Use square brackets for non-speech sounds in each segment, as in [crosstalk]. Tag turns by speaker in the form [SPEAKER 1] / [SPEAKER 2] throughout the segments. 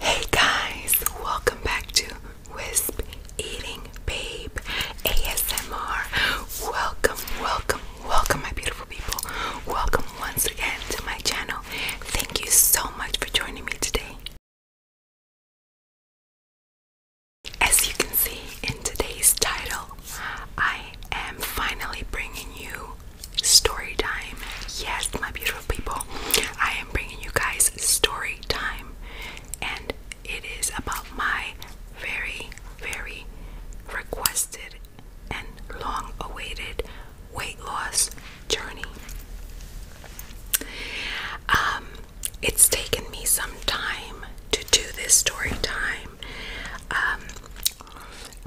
[SPEAKER 1] Hey guys, welcome back to Wisp Eating Babe ASMR. Welcome, welcome, welcome, my beautiful people. Welcome once again to my channel. Thank you so much for joining me today. As you can see in today's title, I am finally bringing you story time. Yes, my beautiful people, I bringing you guys story time, and it is about my very, very requested and long awaited weight loss journey. Um, it's taken me some time to do this story time um,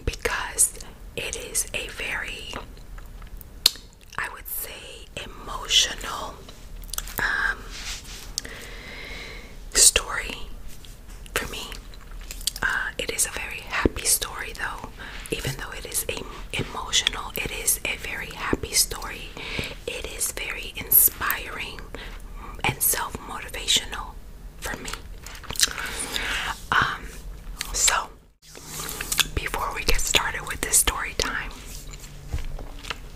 [SPEAKER 1] because it is a very I would say, emotional um, story for me. Uh, it is a very happy story, though. Even though it is emotional, it is a very happy story. It is very inspiring and self motivational for me. Um, so before we get started with this story time,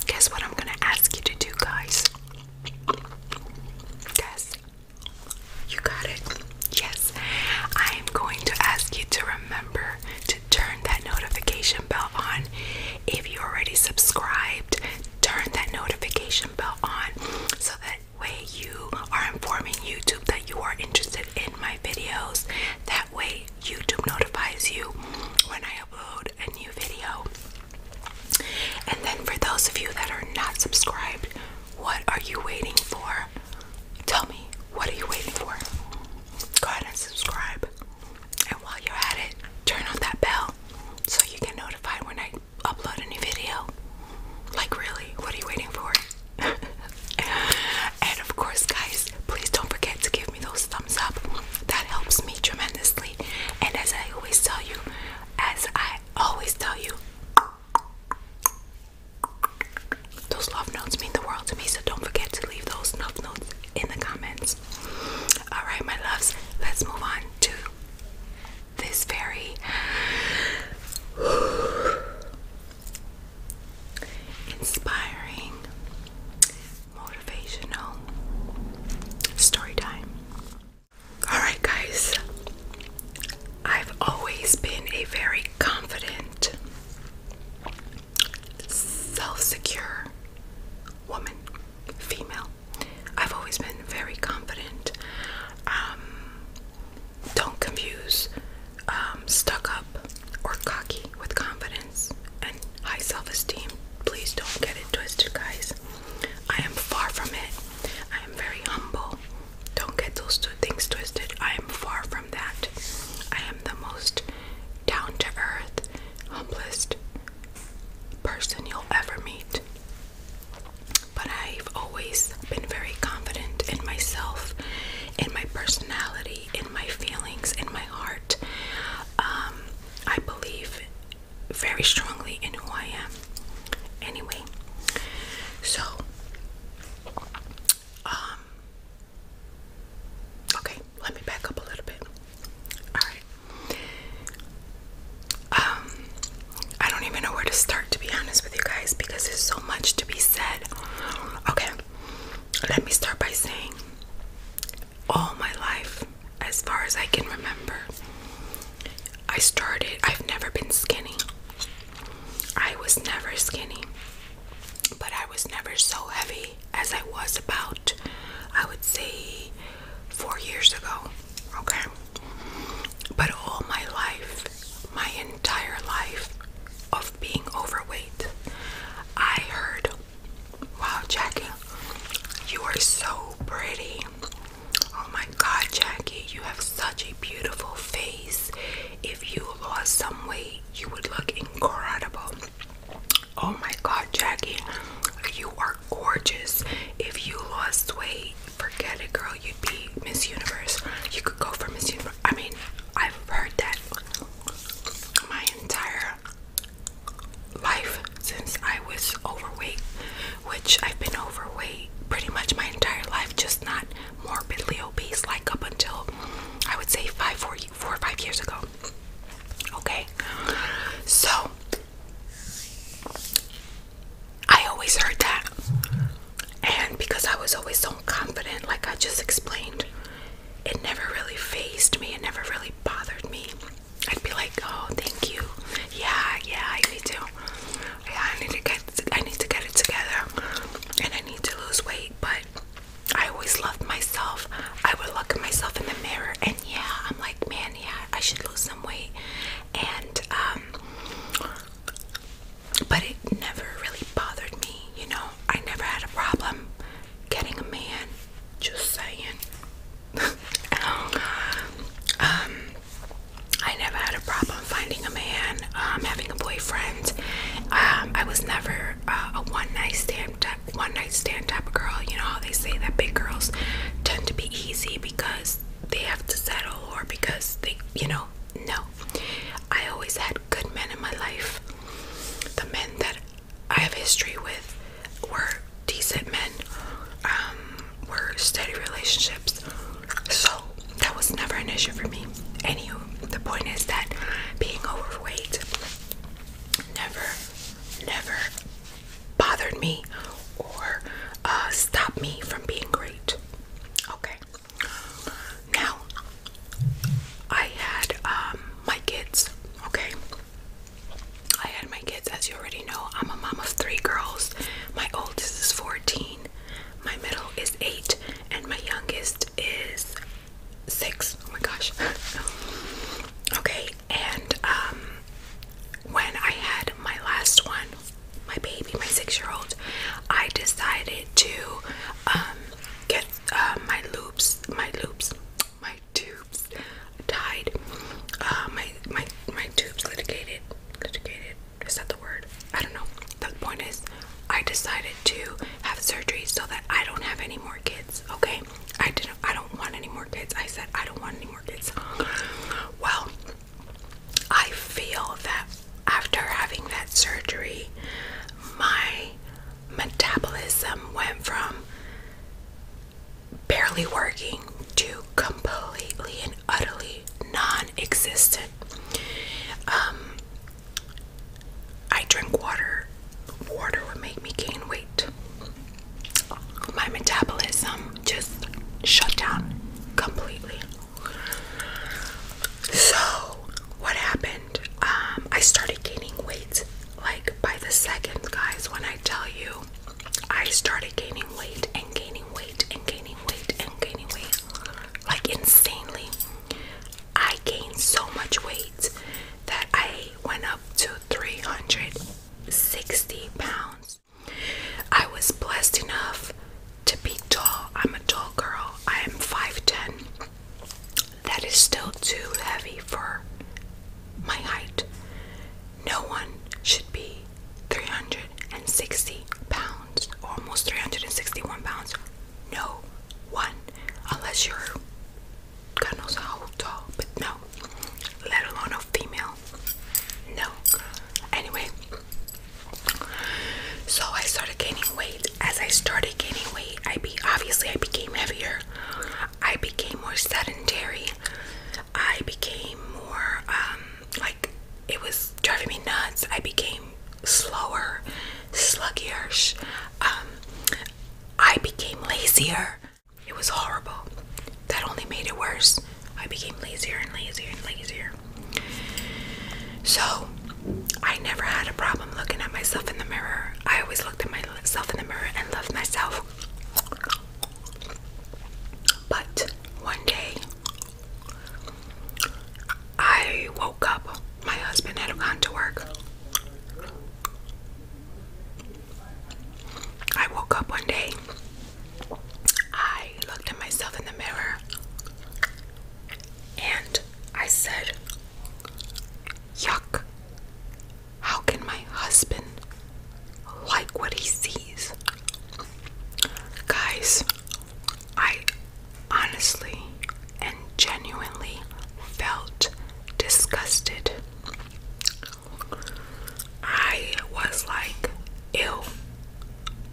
[SPEAKER 1] guess what I'm gonna ask you to do, guys? Guess. You got it. Yes. I am going to ask you to remember to turn that notification bell on. If you already subscribed, turn that notification bell on so that way you are informing YouTube that you are interested in my videos. That way YouTube notifies you when I upload a new video. And then for those of you that are not subscribed, what are you waiting for? Tell me, what are you waiting for? Go ahead and subscribe. And while you're at it, turn on that bell so you get notified when I upload a new video. Like, really, what are you waiting for? [laughs] and of course, guys, please don't forget to give me those thumbs up. That helps me tremendously. And as I always tell you, as I always tell you, those love notes mean the world to me, so don't forget to leave those love notes in the comments. Alright, my loves, let's move on to this very inspiring, motivational story time. Alright, guys, I've always been a very confident, self secure woman, female. I've always been very confident. Um, don't confuse um, stuck up or cocky with confidence and high self esteem. Please don't get it twisted, guys. I am far from it. I am very humble. Don't get those two things twisted. I am far from that. I am the most down to earth, humblest person you'll ever meet. But I've always been very confident in myself, in my personality, in my feelings, in my heart. Um, I believe very strongly in who I am. Anyway, so, um, okay, let me back up a little bit. Alright. Um, I don't even know where to start, to be honest with you guys, because there's so much to be said. Okay, let me start by saying all my life, as far as I can remember, I started, I've never been skinny. I was never skinny, but I was never so heavy as I was about, I would say, four years ago. Okay? But all my life, my entire life of being overweight. I heard, wow, Jackie, you are so pretty. Oh my God, Jackie, you have such a beautiful face. If you lost some weight, you would look incredible. Oh my God, Jackie, you are gorgeous. If you lost weight, forget it, girl, you'd be Miss Universe. You could go for Miss Universe. I mean, I've heard that my entire life since I was overweight, which I've been overweight pretty much my entire life, just not morbidly obese like up until I would say five, four, four or five years ago. Okay, so I always heard that and because I was always so confident, like I just explained, it never really phased me, it never really bothered me. I'd be like, "Oh, thank you. Yeah, yeah, I need to. Yeah, I need to get. I need to get it together, and I need to lose weight." But I always loved myself. I would look at myself in the mirror, and yeah, I'm like, "Man, yeah, I should lose some weight." And um, but it never really bothered me, you know. I never had a problem getting a man, just saying. [laughs] um, I never had a problem finding a man, um, having a boyfriend. Um, I was never uh, a one night stand, type, one night stand type of girl. You know how they say that big girls tend to be easy because they have to settle or because they, you know, no. I always had good men in my life. The men that I have history with were decent men, um, were steady relationships. So that was never an issue for me. Anywho, the point is that being overweight never, never bothered me or uh, stopped me from being great. Okay. Now, I had um, my kids, okay? I had my kids, as you already know. I'm a mom of three girls. My oldest is 14, my middle is 8, and my youngest is 6. Oh my gosh. [laughs] okay, and um, when I had my last one, my baby, my six year old, I decided to um, get uh, my loops, my loops, my tubes tied. Uh, my my my tubes litigated, litigated. Is that the word? I don't know. The point is, I decided to have surgery so that I don't have any more kids. Okay, I didn't. I don't want any more kids. I said I don't want any more kids. Well, I feel that after having that surgery, my metabolism went from barely working to completely and utterly non existent. Um, I drink water, water would make me gain weight. My metabolism just shut down completely. So, what happened? Um, I started gaining weight like by the second, guys. When I tell you, I started gaining weight and gaining weight and gaining weight and gaining weight like insanely. I gained so much weight that I went up to 360 pounds. I was blessed enough to be tall. I'm a tall girl. I am 5'10. That is still too heavy for my height. No one should be 360 pounds, almost 361 pounds. No one, unless you're God knows how tall, but no, let alone a female. No. Anyway, so I started gaining weight. As I started gaining weight, I be obviously I became heavier. I became more sedentary. I became more um, like it was driving me nuts. I became slower, sluggish. Um, I became lazier. It was horrible. That only made it worse. I became lazier and lazier and lazier. So I never had a problem looking at myself in the mirror. I always looked at myself in the mirror and loved myself. But one day, I woke up. My husband had gone to work. I woke up one day. I looked at myself in the mirror and I said, Yuck. How can my husband like what he sees? Guys, I honestly and genuinely felt disgusted. I was like, ew.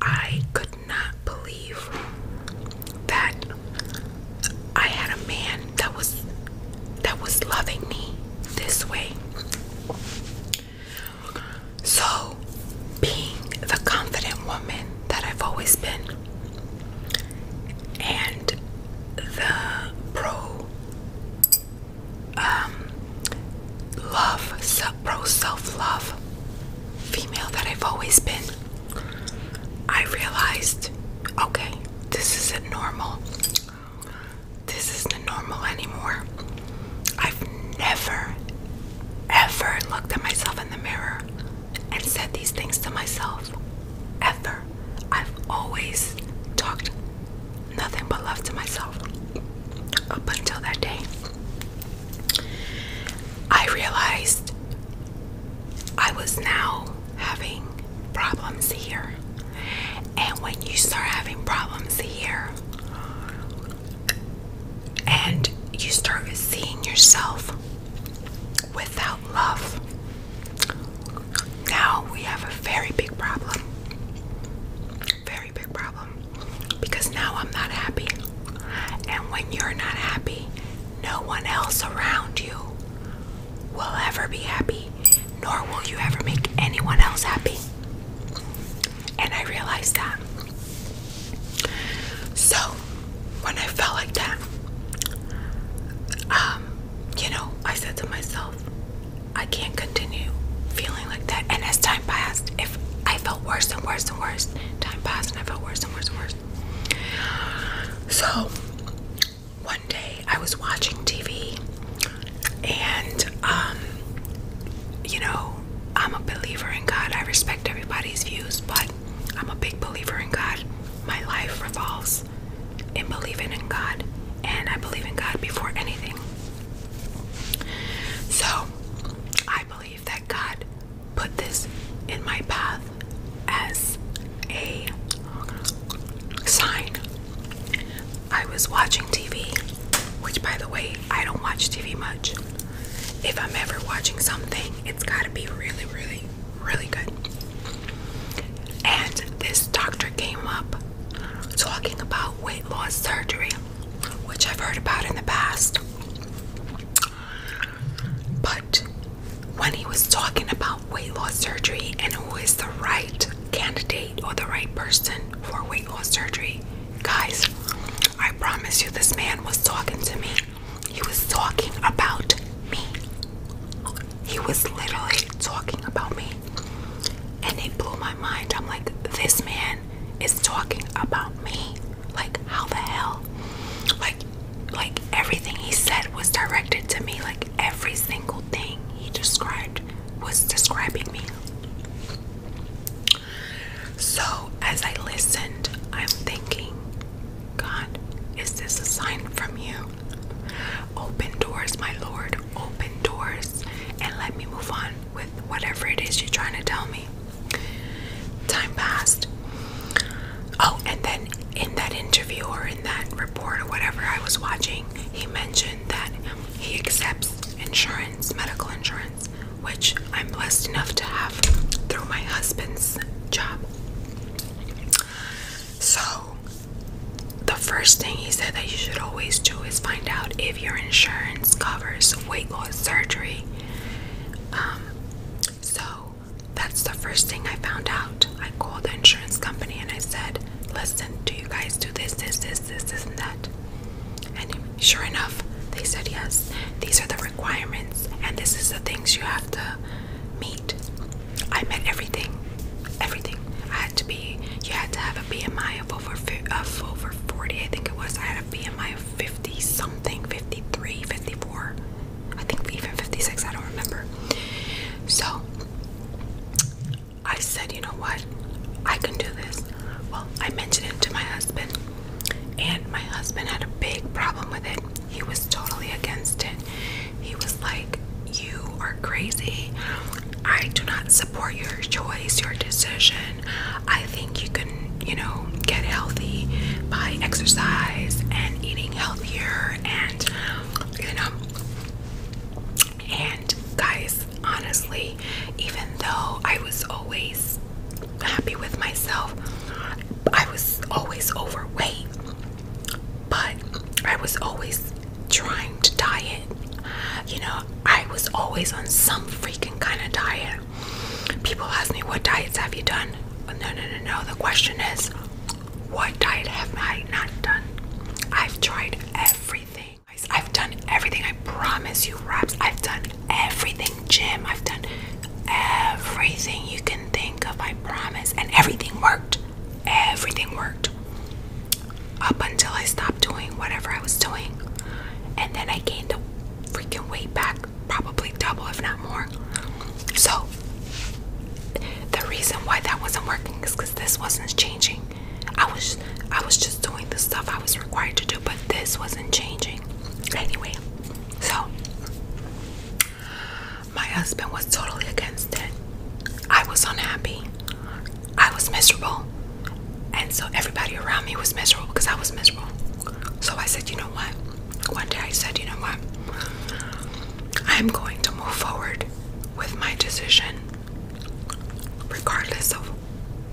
[SPEAKER 1] I could not believe that I had a man that was that was loving me this way. So, being the confident woman that I've always been and the pro um love, pro self-love female that I've always been I realized okay, this isn't normal. This isn't normal anymore. I've never, ever looked at myself in the mirror and said these things to myself. Ever. I've always talked nothing but love to myself up until that day. I realized I was now having problems here. And when you start having problems here and you start seeing yourself without love, now we have a very big problem. Very big problem. Because now I'm not happy. And when you're not happy, no one else around you will ever be happy, nor will you ever make anyone else happy. And I realized that. So, when I felt like that, um, you know, I said to myself, I can't continue feeling like that. And as time passed, if I felt worse and worse and worse, time passed and I felt worse and worse and worse. So one day I was watching TV and um you know I'm a believer in God. I respect everybody's views, but I'm a big believer in God. My life revolves in believing in God, and I believe in God before anything. So I believe that God put this in my path as a sign. I was watching TV, which, by the way, I don't watch TV much. If I'm ever watching something, it's got to be really, really, really good. And this doctor came up talking about weight loss surgery, which I've heard about in the past. But when he was talking about weight loss surgery and who is the right candidate or the right person for weight loss surgery, guys, I promise you, this man was talking to me. He was talking about me. He was literally talking about me. And it blew my mind. I'm like, this man is talking about me. Like, how the hell? Like, like everything he said was directed to me like every single thing he described was describing me so as i listened i'm thinking god is this a sign from you open doors my lord open doors and let me move on with whatever it is you're trying to tell me Time passed. Oh, and then in that interview or in that report or whatever I was watching, he mentioned that he accepts insurance, medical insurance, which I'm blessed enough to have through my husband's job. So, the first thing he said that you should always do is find out if your insurance covers weight loss surgery. Um, so, that's the first thing I found out. I called the insurance company and I said, Listen, do you guys do this, this, this, this, this, and that? And sure enough, they said yes. These are the requirements, and this is the things you have to meet. I met everything. Everything. I had to be, you had to have a BMI of over, of over 40, I think it was. I had a BMI of 50 something, 53, 54. I think even 56, I don't remember. So I said, you know what? I can do this. Well, I mentioned it to my husband, and my husband had a big problem with it. He was totally against it. He was like, You are crazy. I do not support your choice, your decision. I think you could." you know, get healthy by exercise and eating healthier and, you know, and guys, honestly, even though I was always happy with myself, I was always overweight, but I was always trying to diet. You know, I was always on some freaking kind of diet. People ask me, what diets have you done? no, no, no, no. The question is, what diet have I not done? I've tried everything. I've done everything. I promise you, Robs. I've done everything. Jim, I've done everything you can think of. I promise. And everything worked. Everything worked. Up until I stopped doing whatever I was doing. And then I gained freaking weight back, probably double, if not more. So, the reason why that wasn't working is because this wasn't changing. I was, I was just doing the stuff I was required to do, but this wasn't changing. Anyway, so my husband was totally against it. I was unhappy. I was miserable. And so everybody around me was miserable because I was miserable. So I said, you know what? one day I said, you know what? I'm going to move forward with my decision, regardless of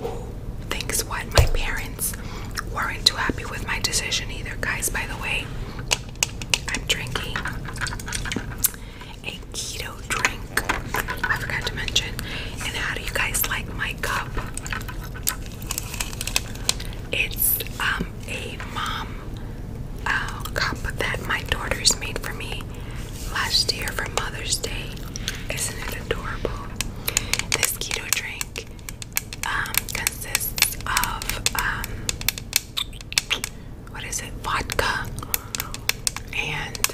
[SPEAKER 1] who thinks what. My parents weren't too happy with my decision either, guys. By the way, I'm drinking a keto drink. I forgot to mention. And how do you guys like my cup? It's um a mom uh, cup that my daughters made for me last year for Mother's Day. Isn't it adorable? This keto drink um, consists of um, what is it? Vodka and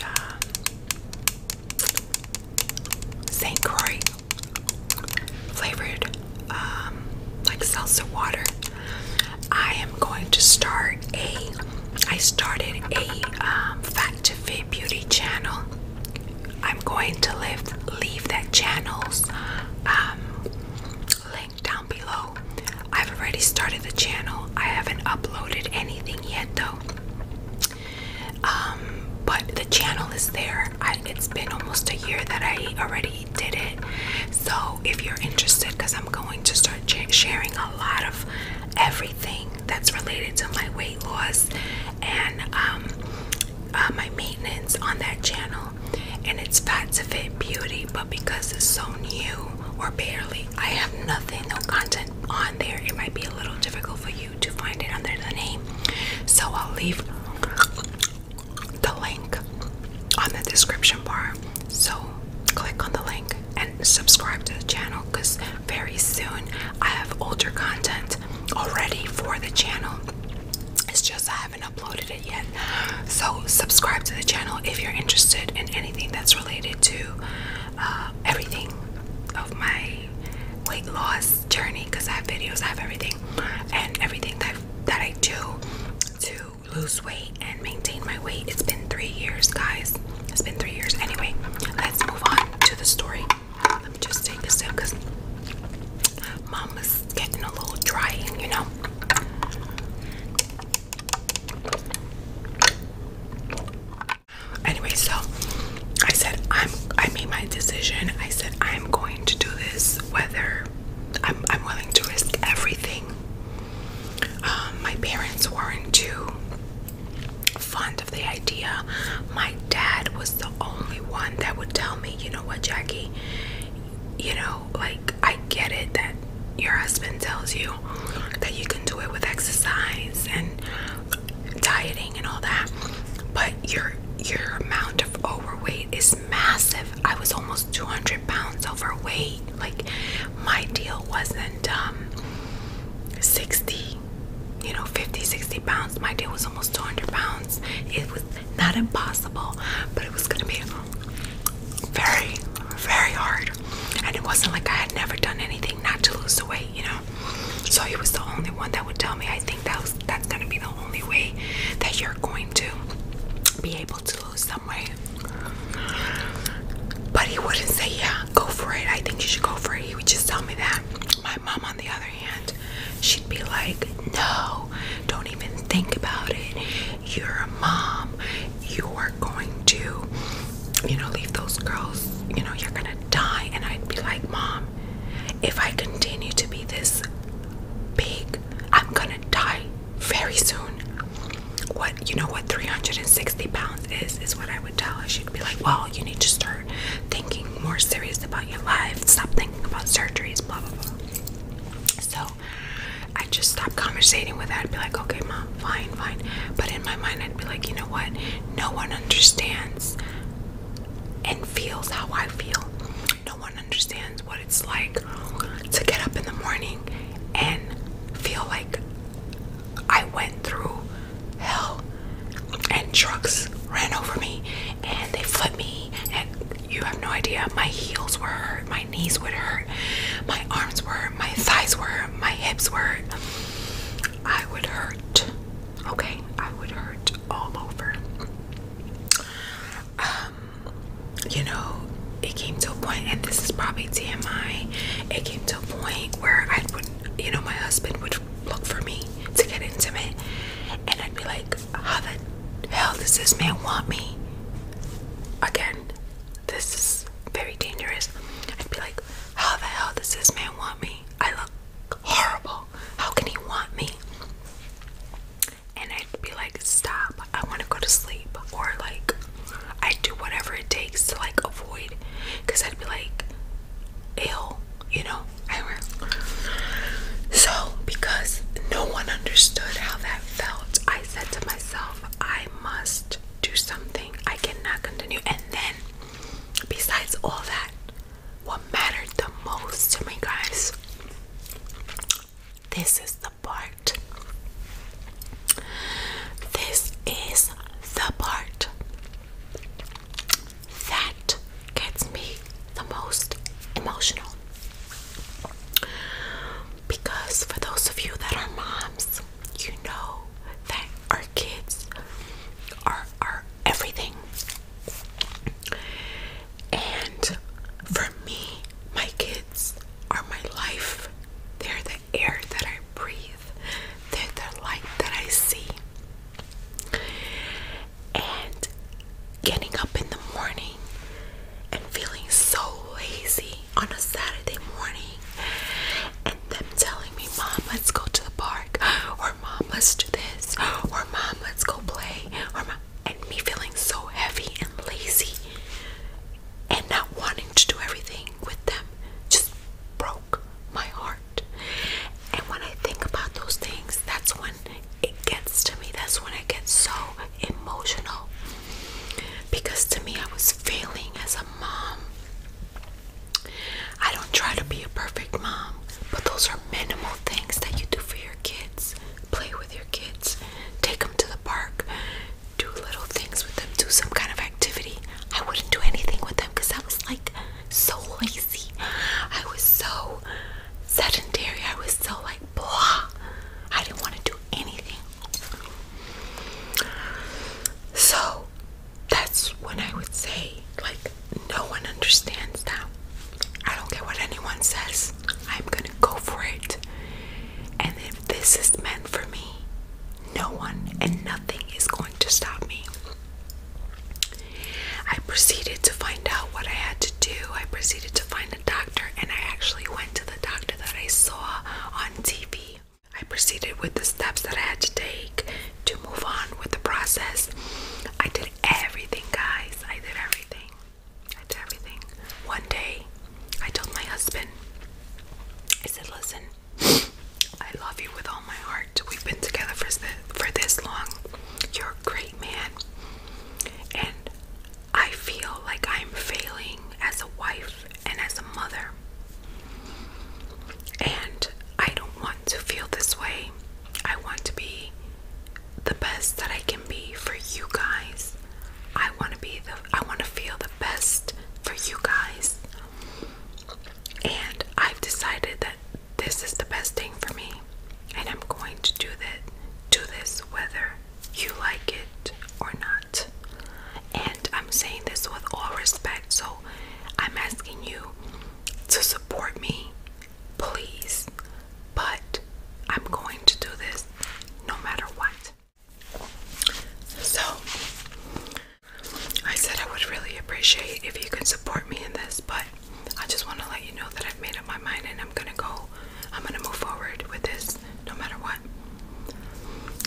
[SPEAKER 1] um, St. Croix flavored um, like salsa water. I am going to start a. I started a um, Fact to Fit Beauty channel. I'm going to leave that channel's um, link down below. I've already started the channel. I haven't uploaded anything yet though. but the channel is there it's been almost a year that I already did it. So if you're interested, because I'm going to start sharing a lot of everything that's related to my weight loss and um, uh, my maintenance on that channel. And it's Fat to Fit Beauty, but because it's so new or barely, I have nothing, no content on there. It might be a little difficult for you to find it under the name. So I'll leave the link on the description bar. So click on the link and subscribe to the channel because very soon I have older content already for the channel. It's just I haven't uploaded it yet. So subscribe to the channel if you're interested in anything that's related to uh, everything of my weight loss journey because I have videos, I have everything and everything that that I do to lose weight and maintain my weight. It's been three years, guys. It's been three years. Anyway, let's move on to the story. Let me just take a sip because mom is getting a little dry, you know. Anyway, so I said I'm I made my decision. I said I'm going to do this whether I'm, willing to risk everything. Um, my parents weren't too fond of the idea. My dad was the only one that would tell me, you know what, Jackie, you know, like I get it that your husband tells you that you can do it with exercise and dieting and all that, but your your amount of overweight is massive. I was almost 200 pounds overweight. Like, my deal wasn't um, 60, you know, 50, 60 pounds. My deal was almost 200 pounds. It was not impossible, but it was going to be very, very hard. And it wasn't like I had never done anything not to lose the weight, you know. So he was the only one that would tell me. I think that was that's gonna be the only way that you're going to be able to lose some weight. But he wouldn't say, Yeah, go for it. I think you should go for it. He would just tell me that. My mom, on the other hand, she'd be like, No, don't even think about it. You're a mom. You are going to, you know, leave those girls. You know, you're gonna die. And I'd be like, Mom, if I continue to be this big, I'm gonna die very soon. What you know what 360 pounds is is what I would tell her. She'd be like, Well, you need to start thinking more serious about your life, stop thinking about surgeries, blah blah blah. So I just stopped conversating with her. I'd be like, okay, mom, fine, fine. But in my mind, I'd be like, you know what? No one understands and feels how I feel no one understands what it's like to get up in the morning and feel like I went through hell and trucks ran over me and they flipped me and you have no idea my heels were hurt, my knees were hurt, my arms were my thighs were my hips were I would hurt. Okay, I would hurt all over. Um, you know, it came to a point, and this is probably TMI. It came to a point where I would, you know, my husband would look for me to get intimate, and I'd be like, "How the hell does this man want me?" Again, this is very dangerous. I'd be like, "How the hell does this man want me? I look horrible. How can he want me?" and I'd be like, stop, I want to go to sleep, or like, i do whatever it takes to like avoid because I'd be like, ill, you know. I remember. So, because no one understood how that felt, I said to myself, I must do something, I cannot continue. And then, besides all that, what mattered the most to me, guys. This is the part. This is the part that gets me the most emotional. Because for those of you that are moms, you know that our kids are our everything. And for me, my kids are my life. They're the air that I breathe, they're the light that I see. And getting up in the morning and feeling so lazy on a Saturday morning, and them telling me, Mom, let's go to the park, or Mom, let's do this, or Mom, let's go play, or Mom, and me feeling so heavy and lazy and not wanting to do everything with them just broke my heart. And when I think about those things, that's when it gets to me. That's when it gets so emotional. Because to me, I was failing as a mom. I don't try to be a perfect mom, but those are minimal things that you do for your kids play with your kids, take them to the park, do little things with them, do some kind of activity. I wouldn't do anything with them because I was like so lazy. I was so sedentary. I was so like blah. I didn't want to do anything. So that's when I would say, like, no one understands that. I don't care what anyone says. I'm gonna go for it. And if this is meant for me, no one and nothing is going to stop me. I proceeded to find out what I had to do. I proceeded to find a doctor, and I actually went to the doctor that I saw on TV. I proceeded with the steps that I had to take to move on with the process. I did everything, guys. I did everything. I did everything. One day, I told my husband, I said, listen, I love you with all my heart. We've been together for, for this long. You're a great man. And I feel like I'm failing as a wife and as a mother. And I don't want to feel this way. I want to be the best that I can be for you guys. I want to be the I want to feel the best for you guys. And I've decided that this is the best thing for me. And I'm going to do that do this whether you like it or not. And I'm saying this with all respect, so I'm asking you to support me please. But I'm going to do this no matter what. So, I said I would really appreciate if you could support me in this, but I just want to let you know that I've made up my mind and I'm going to go, I'm going to move forward with this no matter what.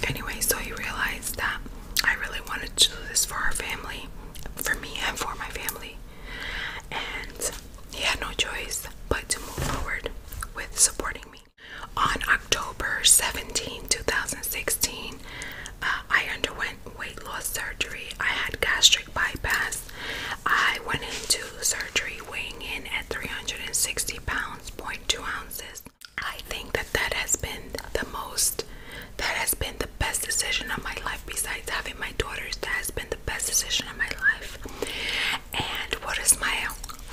[SPEAKER 1] Anyway, so you realize that I really wanted to do this for our family, for me and for my family. And he had no choice but to move forward with supporting me. On October 17, 2016, uh, I underwent weight loss surgery. I had gastric bypass. I went into surgery weighing in at 360 pounds, 0.2 ounces. I think that that has been the most, that has been the best decision of my life besides having my daughters. That has been the best decision of my life. And what does my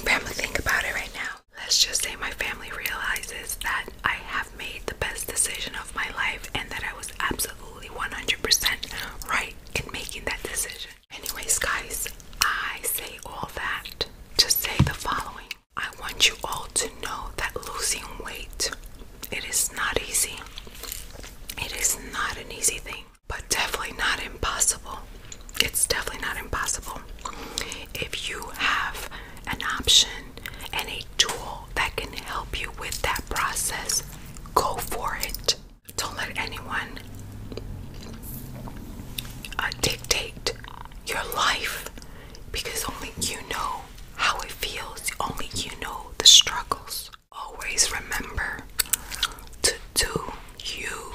[SPEAKER 1] family think about it right now? Let's just say my family realizes that I have made the best decision of my life and that I was absolutely 100% right in making that decision. Anyways, guys, I say all that to say the following I want you all to know that losing weight it is not easy. It is not an easy thing, but definitely not impossible. It's definitely not impossible. If you have an option and a tool that can help you with that process, go for it. Don't let anyone uh, dictate your life because only you know how it feels, only you know the struggles. Always remember to do you,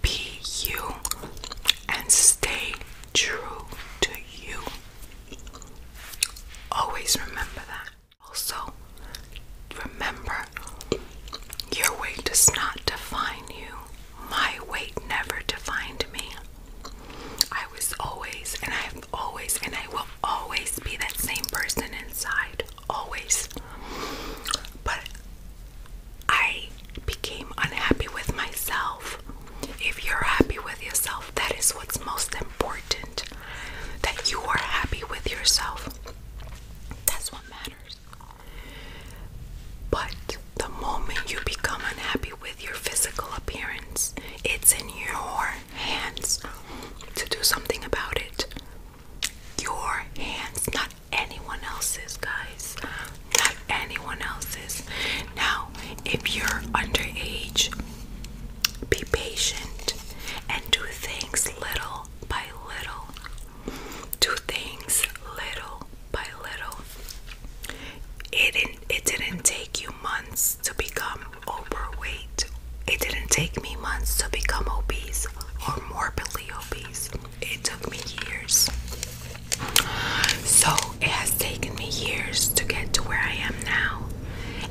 [SPEAKER 1] be you, and stay true to you. Always remember that. Also, remember your weight does not define you. My weight never defined me. I was always, and I always, and I will always be that same person inside, always. But I became unhappy with myself. If you're happy with yourself, that is what's most important. That you are happy with yourself. That's what matters. But the moment you become unhappy with your physical appearance, it's in your hands to do something about it. Your hands, not anyone else's, guys. Not anyone else's. Now, if you're underage, be patient and do things little by little. Do things little by little. It didn't, it didn't take you months to become overweight. It didn't take me months to become obese or morbidly obese. It took me years. So it has taken me years to get to where I am now.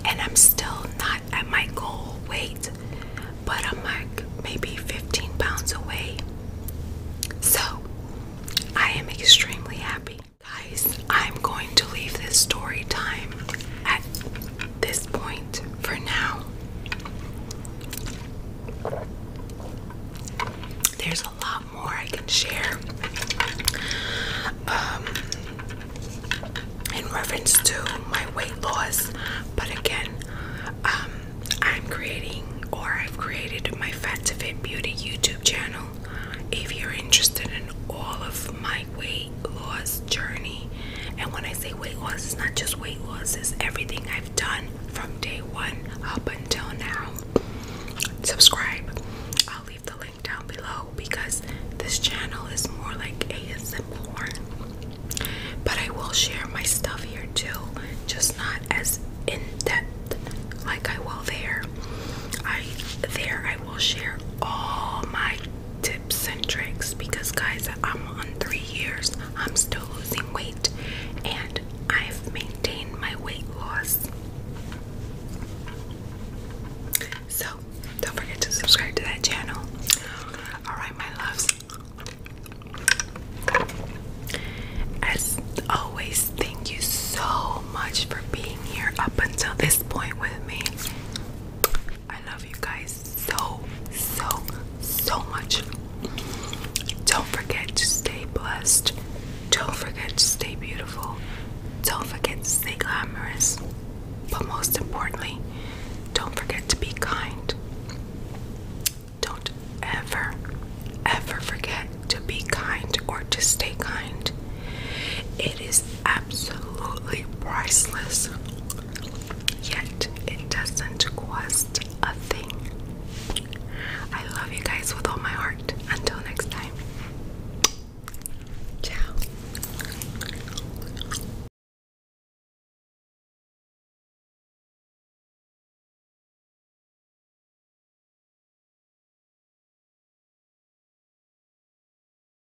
[SPEAKER 1] And I'm still not at my goal weight, but I'm like maybe 15 pounds away. So I am extremely happy. Guys, I'm going to leave this story time at this point for now. There's a lot more I can share um, in reference to my weight loss, but again, um, I'm creating or I've created my Fat to Fit Beauty YouTube channel. If you're interested in all of my weight loss journey. And when I say weight loss, it's not just weight loss, it's everything I've done from day one up until now. Subscribe. I'll leave the link down below because this channel is more like ASMR. But I will share my stuff here too, just not as in depth like I will there. I there I will share all my tips and tricks because, guys, I'm on three years, I'm still losing weight, and I've maintained my weight loss. So, don't forget to subscribe to that channel. Alright, my loves. As always, thank you so much for being here up until this point with me. I love you guys so, so, so much. Don't forget to stay blessed. Don't forget to stay beautiful. Don't forget to stay glamorous. But most importantly, don't forget to be kind. Don't ever, ever forget to be kind or to stay kind. It is absolutely priceless, yet it doesn't cost a thing. I love you guys with all my heart. Until next time, ciao.